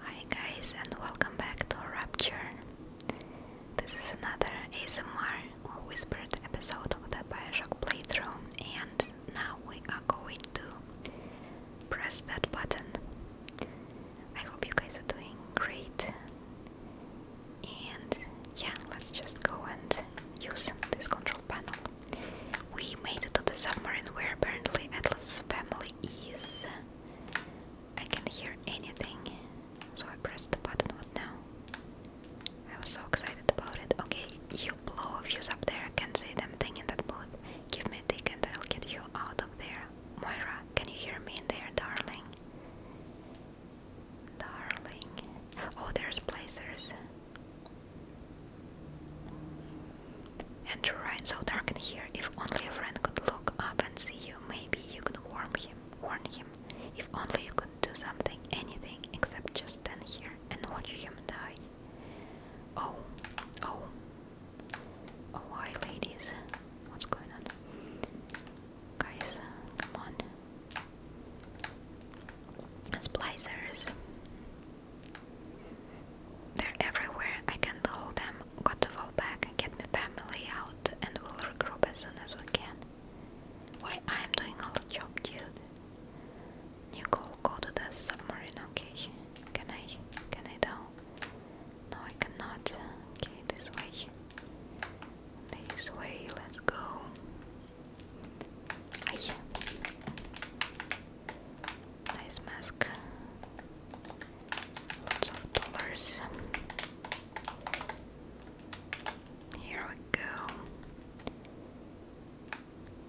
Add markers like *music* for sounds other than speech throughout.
Hi guys and welcome back to Rapture. This is another ASMR whispered episode of the Bioshock playthrough and now we are going to press that button. I hope you guys are doing great and yeah, let's just go and use this control panel. We made it to the submarine where apparently Atlas's family is. I can't hear anything, so I pressed the button. What now? I was so excited about it. Okay, you blow a fuse up there. I can not see them thing in that booth. Give me a tick and I'll get you out of there. Moira, can you hear me in there, darling? Darling. Oh, there's blazers. And to Ryan so dark in here, if only a friend could look up and see you, maybe you could warn him, warn him. If only you could do something, anything, except just stand here and watch him die. Oh, oh. Oh, hi ladies. What's going on? Guys, come on. Splicers. They're everywhere. I can't hold them. Got to fall back and get my family out, and we'll regroup as soon as we can. Why I'm doing all the job, dude. Nicole, go to the submarine. Okay, can I? Can I down? No, I cannot. Okay, this way. This way. Let's go. I. Nice mask. Lots of dollars. Here we go.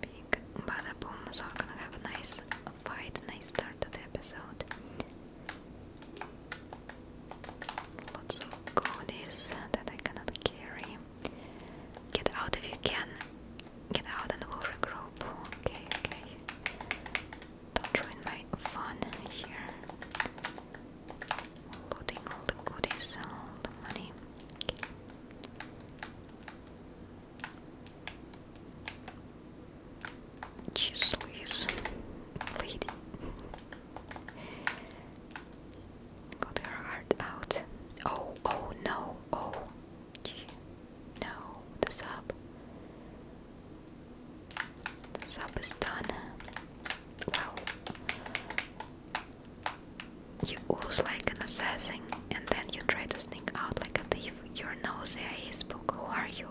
Big bada boom. So we're gonna have a nice fight, nice start to the episode. Lots of goodies that I cannot carry. Get out if you can. Get out and we'll regroup. Okay, okay. Don't ruin my fun here. Looting all the goodies, all the money. Okay. Jeez Louise. Got her heart out. Oh, oh no, oh. No, the sub. The sub is done. Well, you ooze like an assassin, and then you try to sneak out like a thief. You're no CIA Who are you?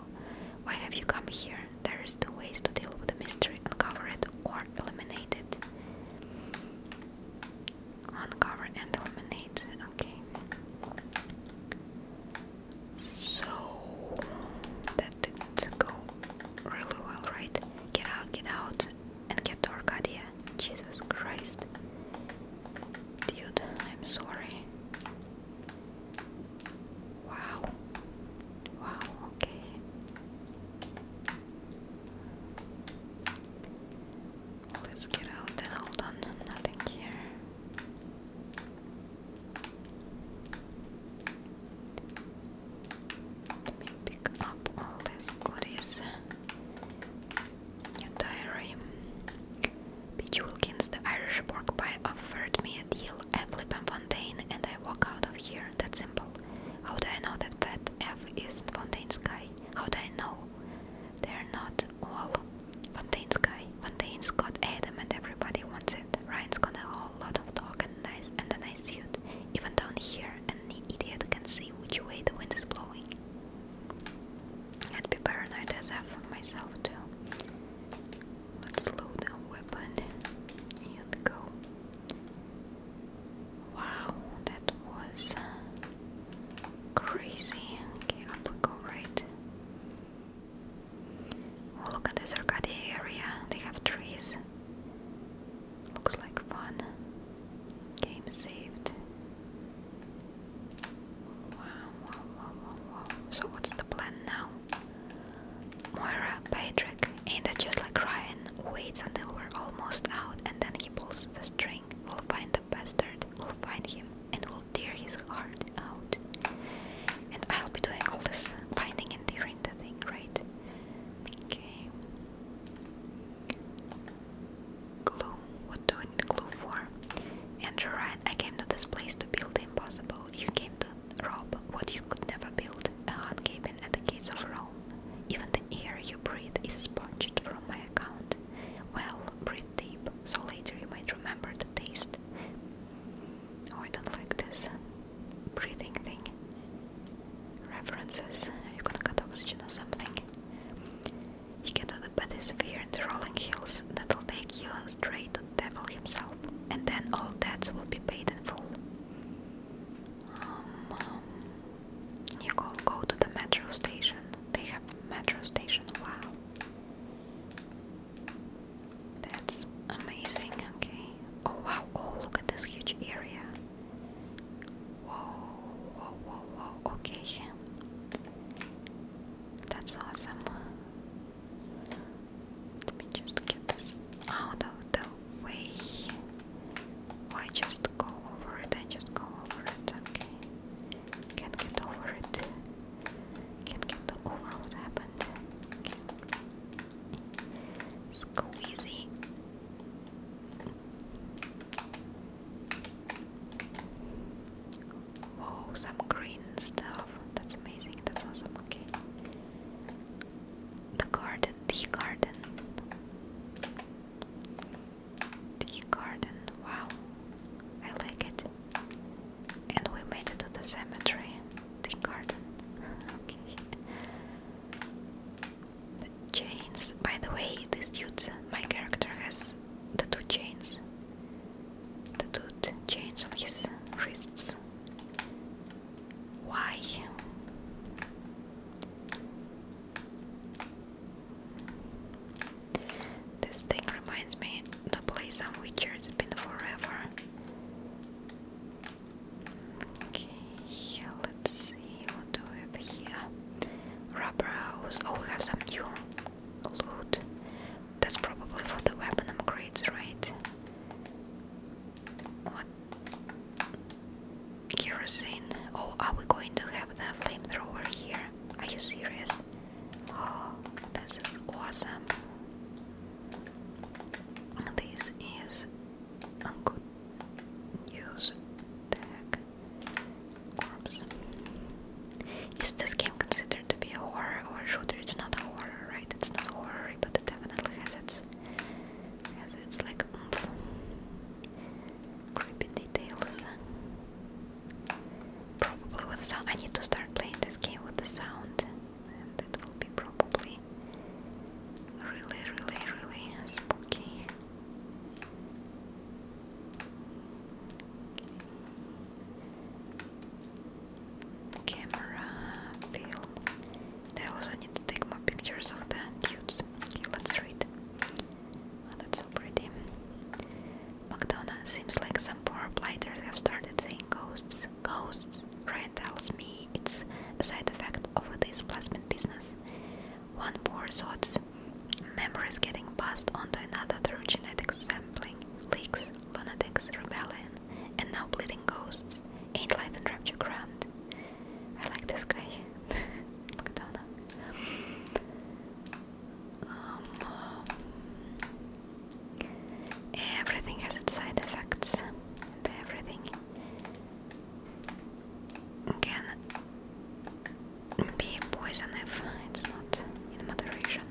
Why have you come here? There is two ways to deal with the mystery: uncover it or eliminate it. Uncover and eliminate. Okay. So that didn't go really well, right? Get out, get out, and get to Arcadia. Jesus Christ. Dude, I'm sorry. Wow. Wow, okay. Let's get out and hold on, nothing here. Let me pick up all these goodies. New diary. Peach the Irish pork offered me a deal. I flip Fontaine and I walk out of here. That's simple. How do I know that F is Fontaine's guy? How do I know? They're not it all. Fontaine's Fontaine's Adam and everybody wants it. Ryan's got a lot of talk and, nice, and a nice suit. Even down here, any idiot can see which way the wind is blowing. i be paranoid as F myself too. Let's load the weapon and go. Wow, that was Crazy. Okay, I'm go right. Oh, look at this Arcadia area. They have trees. Looks like fun. Game saved. Wow, wow, wow, wow, wow. So, what's the plan now? Moira, Patrick, and that just like Ryan? Waits until we're almost out and then he pulls the string we will find the bastard, we will find him, and we will tear his heart out. And I'll be doing all this finding and tearing the thing, right? Okay. Glue. What do I need glue for? Andrew Ryan, I came to this place to build impossible. You came to rob what you could never build. A hot at the gates of Rome. Even the air you breathe is sponged from my account said. Well, breathe deep, so later you might remember the taste. Oh, I don't like this breathing thing. References, you can cut oxygen or something. You get to the bathysphere and the rolling hills that'll take you straight to the devil himself, and then all debts will be paid in full. Um, um, you can go to the metro station. They have metro station. Wow. That's amazing. Okay. Oh wow. Oh look at this huge area. Whoa, whoa, whoa, whoa. Okay. That's awesome. Let me just get this out of the way. Why just go over it? I just go over it. Okay. Can't get over it. Can't get over what happened. Squeezy. Wow, oh, some green stuff. That's amazing. That's awesome. Okay. The garden, the garden. The garden. Wow, I like it. And we made it to the cemetery. The garden. *laughs* okay. The chains. By the way, this dude, my character, has the two chains. The two chains on his wrists. Why? This thing reminds me the place on witcher it's been forever. Okay, let's see what do we have here. Rubber Oh, we have some new loot. That's probably for the weapon upgrades, right? What? kerosene. Oh, are we going to have the flamethrower here? Are you serious? Oh, that's awesome. This is a good news Is this game considered to be a horror or a shooter? It's not a horror, right? It's not horror, but it definitely has its has its like creepy details. Probably with sound. I need to start playing this game with the sound, and will be probably really, really, really spooky. Camera, film. I also need to take more pictures of the dudes. Okay, let's read. Oh, that's so pretty. McDonough seems like some poor blighters have started seeing ghosts, ghosts. Ryan tells me it's a side effect of this plasma business. One more thought. memories getting passed on to another through genetic sampling, leaks, lunatics, rebellion, and now bleeding ghosts. Ain't life in rapture grand. I like this guy, *laughs* McDonough. Um, everything has its side effects, everything can be poison it's not in moderation.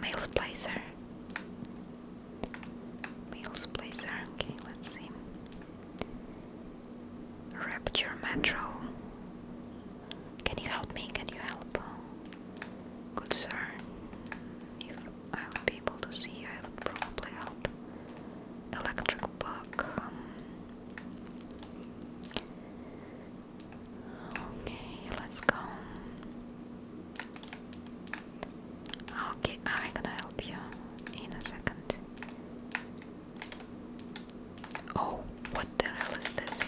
Male splicer. Male splicer. Okay, let's see. Rapture Metro. Can you help me? Can you help? Good sir. If I would be able to see I would probably help. Electric bug. Okay, let's go. Okay, I'm gonna help you in a second. Oh, what the hell is this?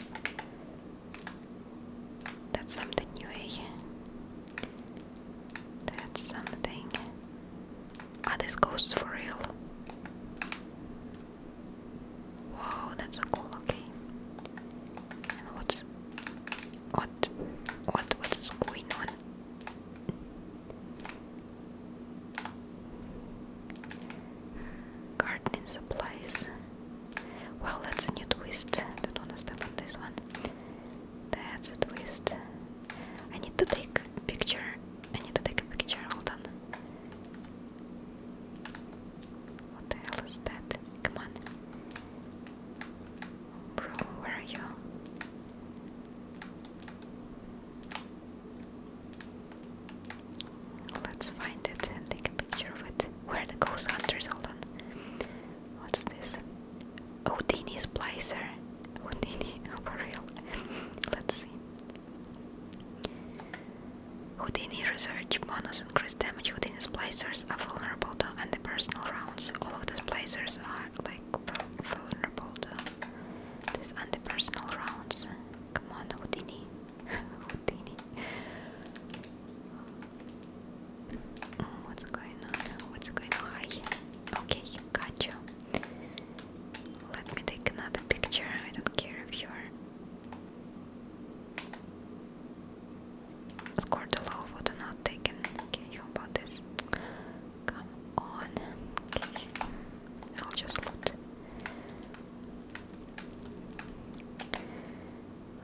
That's something new, eh? That's something. Are ah, these ghosts for real? Wow, that's cool, okay. And what's what what what is going on Gardening supplies. Well, that's a new twist. I don't want to on this one. That's a twist. I need to take a picture. I need to take a picture. Hold on. What the hell is that? Come on. Bro, where are you? Let's find it and take a picture of it. Where the ghost hunters? Hold on. What's this? Houdini splicer. Houdini, *laughs* for real. Let's see. Houdini research bonus increased damage. Houdini splicers are vulnerable to anti-personal rounds. All of the splicers are like vulnerable to these anti-personal rounds. Come on, Houdini. *laughs* Houdini. Mm, what's going on? What's going on? Hi. Okay, got you. Let me take another picture. I don't care if you're scored a low, what not taken. Okay, how about this? Come on. Okay. I'll just look.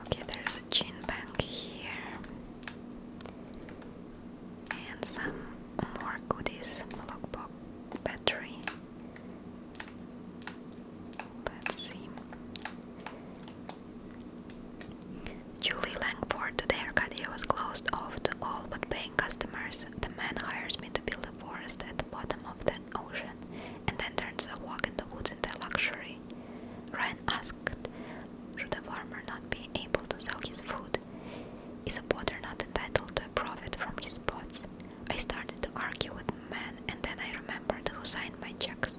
Okay, there's a gin bank here. And some more goodies. Lockbox battery. Let's see. Julie Langford, the Arcadia was closed off to all but paying customers. The man hires me to build a forest at the bottom of the ocean and then turns a walk in the woods into a luxury. Ryan asked, should a farmer not be able to sell his food? Is a potter not entitled to a profit from his pots? I started to argue with the man and then I remembered who signed my checks.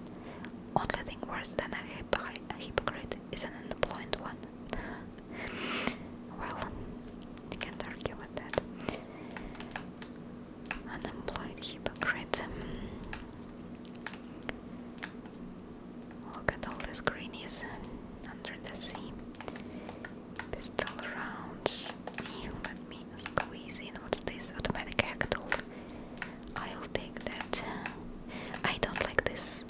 Only thing worse than a hypocrite is an unemployed one. well, you can't argue with that. Unemployed hypocrite. Look at all these greenies under the sea. Pistol rounds. Let me squeeze in. What's this? Automatic hack tool. I'll take that. I don't like this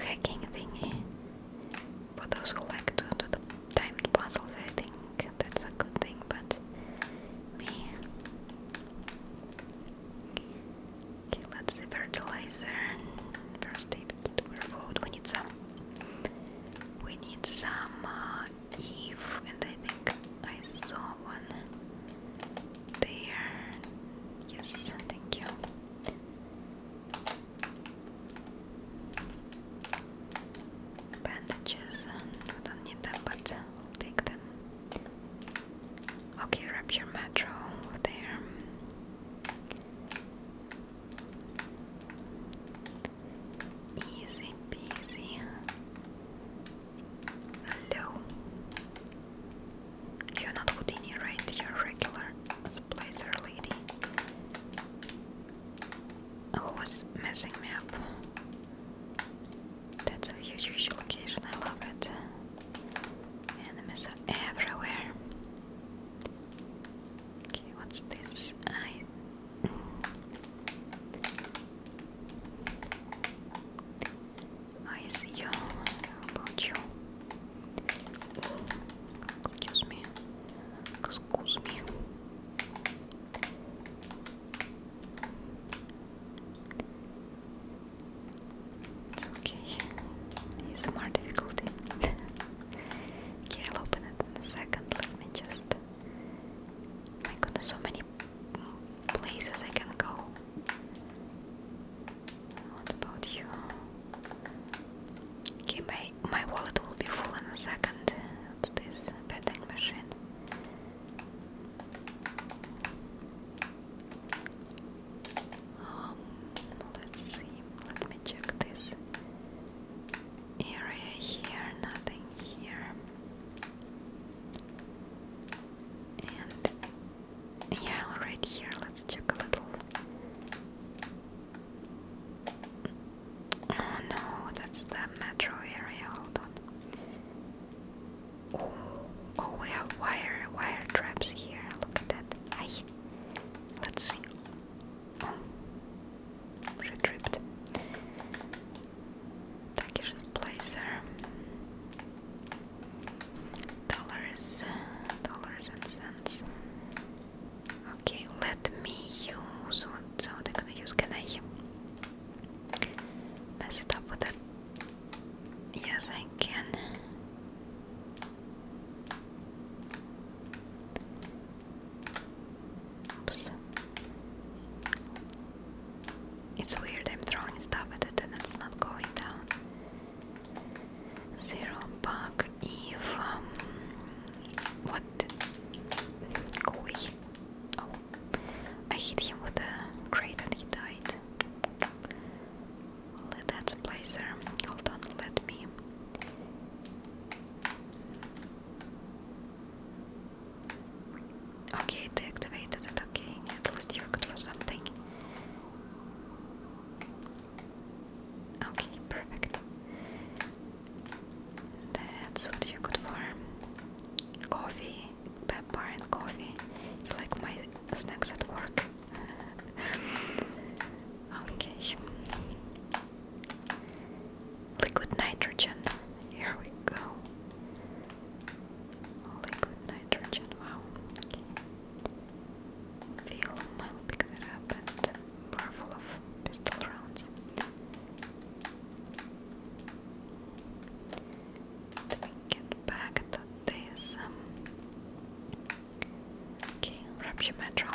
hacking thingy. For those who like to do the timed puzzles, I think that's a good thing, but let's see fertilizer. First aid kit overload. We need some. We need some uh, Eve, and I think I saw one there. Yes, thank you. Bandages, uh, don't need them, but take them. Okay, wrap your metro over there. Easy peasy. Hello. You're not Houdini, right? you regular Splicer lady. Who was messing me up? That's a huge, huge location. I love it. Enemies are everywhere. Okay, what's this? I. I see. How about you? It's okay. It's more difficulty. okay, *laughs* I'll open it in a second. Let me just. My goodness, so many places I can go. What about you? Okay, my, my wallet will be full in a second this vending machine. Um, let's see, let me check this area here, nothing here. And yeah, right here. Let's check a little. Oh no, that's the metro area. Hold on. Oh, oh we have wire wire traps here. Look at that. Hi. Let's see. Oh, she tripped. Turkish placer dollars, dollars and cents. Okay, let me use what so they use. Can I mess it up with it? Yes, I can. Oops. It's weird, I'm throwing stuff at it and it's not going down. Zero bug if um, what go Oh I hit him with a crate and he died. Let that's placer. Hold on, let me Okay, deactivated. Okay, at least you worked for something. Okay, perfect. That's what you could for coffee, pepper and coffee. It's like my snacks at work. *laughs* okay. Liquid nitrogen. Here we go liquid nitrogen, wow. Okay. Film, I'll pick that up and barrel of pistol rounds. Let me get back to this. Um, okay, Rapture Metro.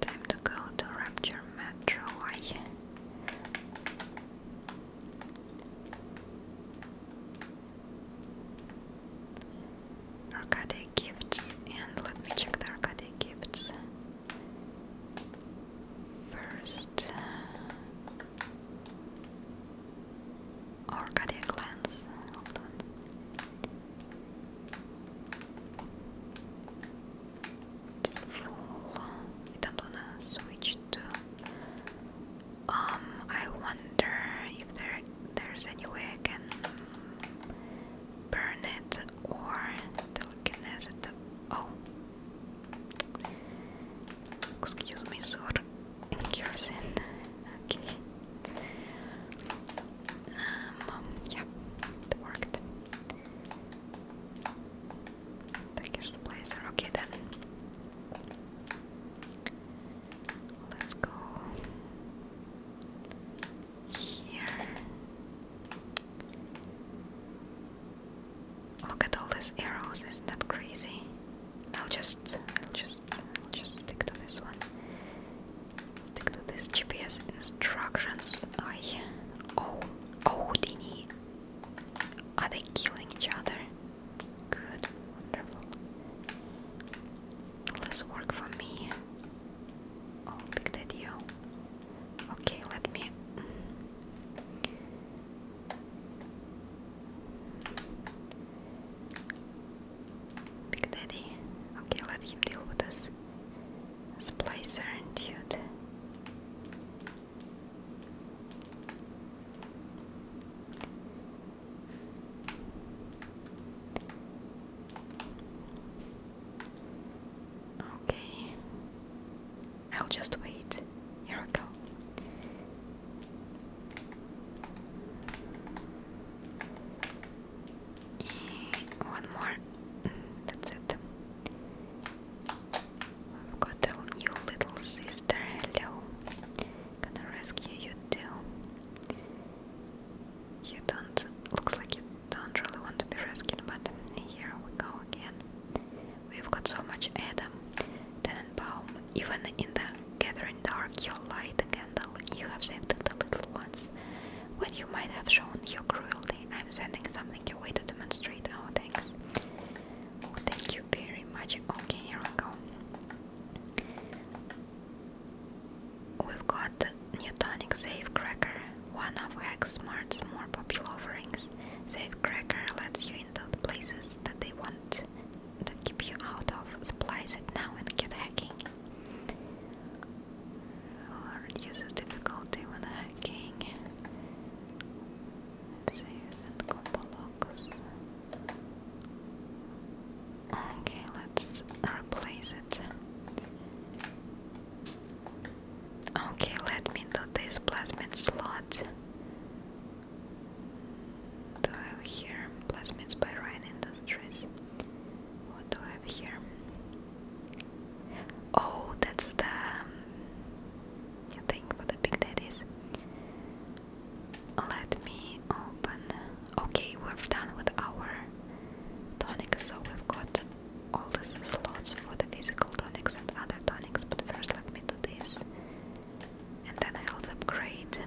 Time to go to Rapture Metro. Arcade gifts, and let me check the arcade gifts first. Arcadia Clans, hold on. I don't switch to. Um, I wonder if there there's any way I can burn it or telekinesis it. Oh, excuse me, sir. Kerosene. *laughs* okay. Um, yeah, it worked. Turkish supplies are okay then. Let's go here. Look at all these arrows, isn't that crazy? I'll just just just stick to this one. Stick to this GPS instructions. I oh oh Dini are they killing each other? Good, wonderful. Let's work for me. Oh, big daddy. Okay, let me. Big Daddy. Okay, let him deal with this splicer and dude. Okay, I'll just wait. Here we go. one more. Mm, that's it. I've got a new little sister, hello. Gonna rescue you too. You don't looks like you don't really want to be rescued, but here we go again. We've got so much Adam. Then, Tenenbaum, even in the gathering dark you light the candle. You have saved the little ones. When you might have shown your cruelty, I'm sending something your way to demonstrate our oh, thanks. Oh, thank you very much. Okay, here we go. We've got Newtonic Safe Cracker, one of Hex more popular offerings. Safe Cracker lets you into places that they want to keep you out of. Supplies it now and get hacking. Or reduces difficulty when hacking save that combo locks. Okay, let's replace it. Okay, let me do this plasmid slot. Do I have here plasmids by Ryan Industries? What do I have here? Oh, that's the um, thing for the big daddies. Let me open. Okay, we're done with our tonic, so we've got all the slots for the physical tonics and other tonics. But first, let me do this, and then I'll upgrade.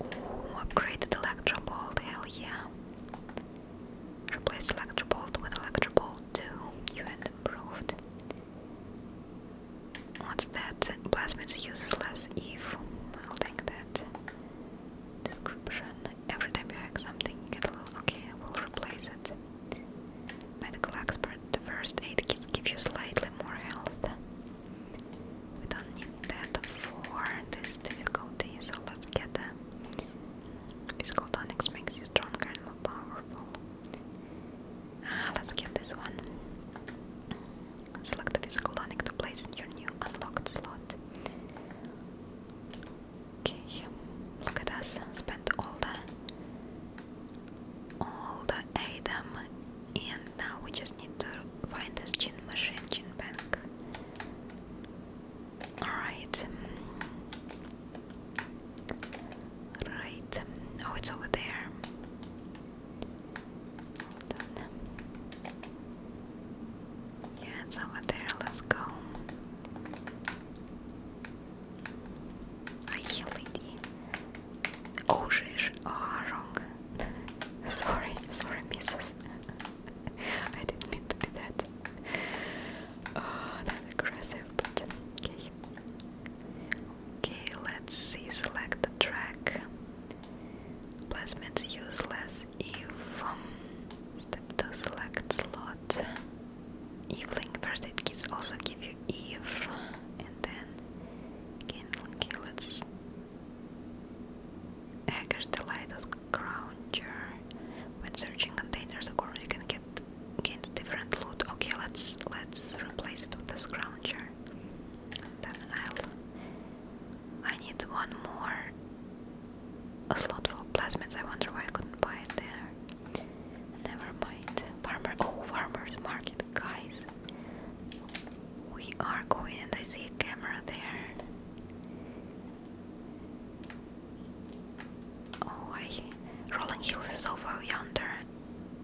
Ooh, upgraded electro bolt, hell yeah. Replace Electrobolt with Electrobolt 2, you had improved. What's that? Plasmids useless if I'll take that. Description. Every time you hack something you get a little okay, I will replace it. Medical expert, the first aid kits give you slightly more health. We don't need that for this difficulty, so let's get them. Physical tonics makes you stronger and more powerful. Ah, let's get this one. Select the physical tonic to place in your new unlocked slot. Okay, look at us. Spend all the all the Adam, and now we just need to find this gin machine, gin bank. Alright. Right. Oh, it's over there. Yeah, it's over there. Let's go. I lady. Oh, sheesh. Oh, wrong. *laughs* sorry, sorry, missus. *laughs* I didn't mean to be that. Oh, that aggressive, but okay. Okay, let's see. Select the track. Placements useless if step to select slot. If link first aid kits also give you if, and then again, okay, let's Hackers delight as grounder when searching containers or you can get gain different loot. Okay, let's let's replace it with a scrounger. then I'll I need one more a slot for plasmids. I wonder why I couldn't buy it there. Never mind. Farmer oh farmers market guys. We are going and I see a camera there. Oh, I. Rolling Hills is over yonder,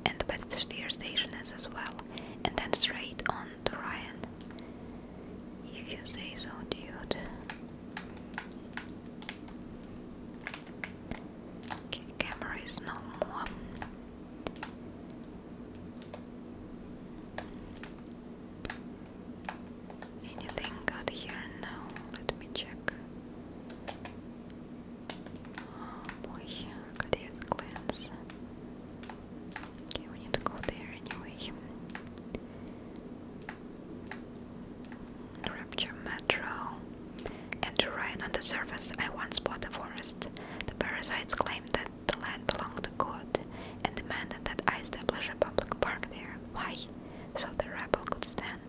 and the Sphere station is as well, and then straight on to Ryan. If you say so, dude. Okay, no more. Anything out here now? Let me check. Oh boy, cardiac cleanse. Okay, we need to go there anyway. Rapture Metro. And right on the surface, I once bought a forest. The parasites claimed that the land belonged to God and demanded that I establish a public park there. Why? So the rabble could stand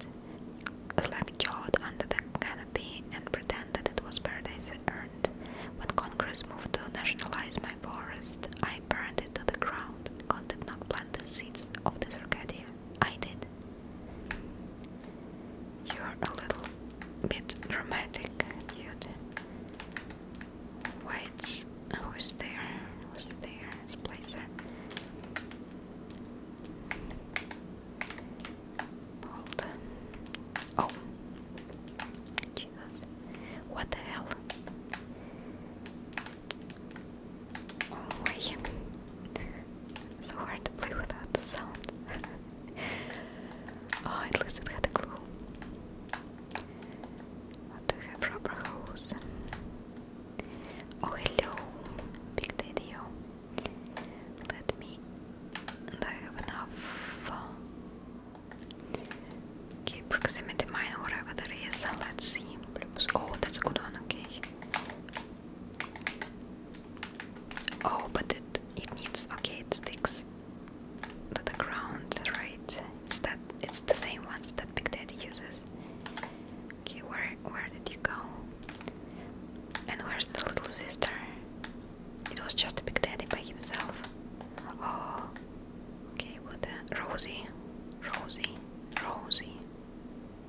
slack-jawed under the canopy and pretend that it was paradise earned. When Congress moved to nationalize my forest, I burned it to the ground. God did not plant the seeds of this Arcadia. I did. You're a little bit dramatic, dude. Whites. Oh, is there? Was there? It's Blazer. Bold. Oh. Jesus. What the hell? Oh, wait. *laughs* so hard to play without the sound. *laughs* oh, at least it had a clue. I do have rubber hose. Oh, hello, Big Daddy. Let me. Do I have enough? Okay, proximity mine, whatever that is. Let's see. Oh, that's a good one. Okay. Oh, but it it needs. Okay, it sticks the, the ground, right? It's that it's the same ones that Big Daddy uses. Okay, where where did you go? And where's the little sister? It was just Big Daddy by himself. Oh, okay, with the Rosie, Rosie, Rosie.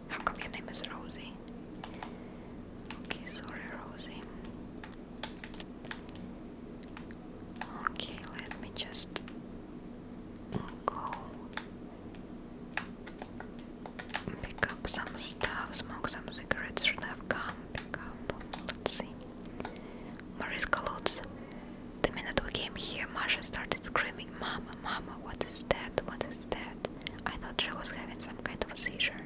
How come your name is Rosie? Okay, sorry, Rosie. Okay, let me just go pick up some stuff, smoke some cigarettes. Should have come pick up? Let's see. Mariska Lutz. The minute we came here, Marsha started screaming, Mama, Mama, what is that? What is that? I thought she was having some kind of seizure.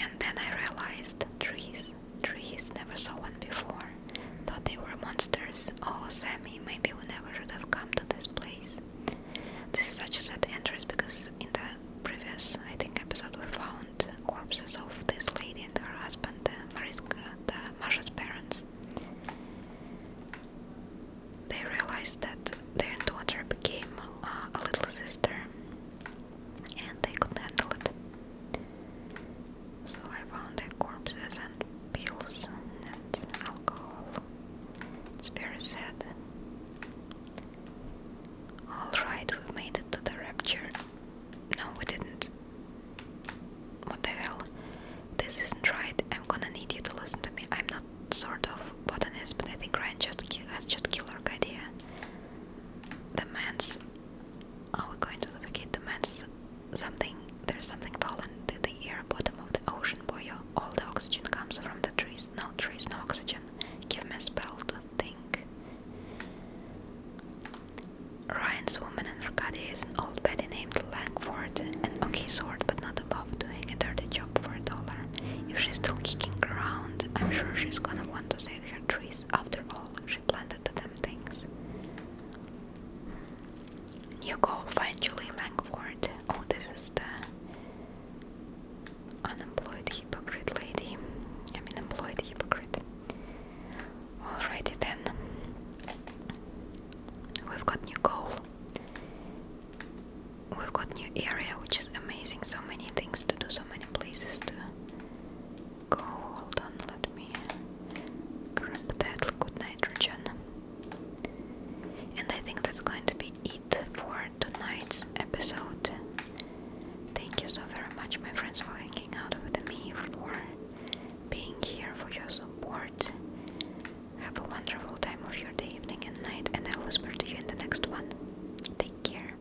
And then I realized trees trees. never saw one before. Thought they were monsters. Oh, Sammy, maybe we never should have come to this place. This is such a sad entrance because in the previous, I think, episode we found corpses of this lady and her husband, Mariska, the Marsha's parents. They realized that their daughter became uh, a little sister and they could handle it. So I found their corpses and pills and alcohol. It's very sad. Alright, we made it to the rapture. No, we didn't. What the hell? This isn't right. I'm gonna need you to listen to me. I'm not sort of botanist, but I think Ryan just has just killer idea. The man's are we going to navigate the man's something? There's something fallen to the air bottom of the ocean, boyo. All the oxygen comes from the trees. No trees, no oxygen. Give me a spell to think. Ryan's woman in caddy is an old Betty named Langford, an okay sword, but not above doing a dirty job for a dollar. If she's still kicking around, I'm sure she's gonna want to save her trees. After all, planted the damn things. New goal, find Julie Langford. Oh, this is the unemployed hypocrite lady. I mean, employed hypocrite. Alrighty then. We've got new goal. We've got new area, which is amazing. So many things to do, so many places to go. Hold on, let me grab that good nitrogen. And I think that's going to be it for tonight's episode. Thank you so very much, my friends, for hanging out with me, for being here, for your support. Have a wonderful time of your day, evening, and night, and I'll whisper to you in the next one. Take care.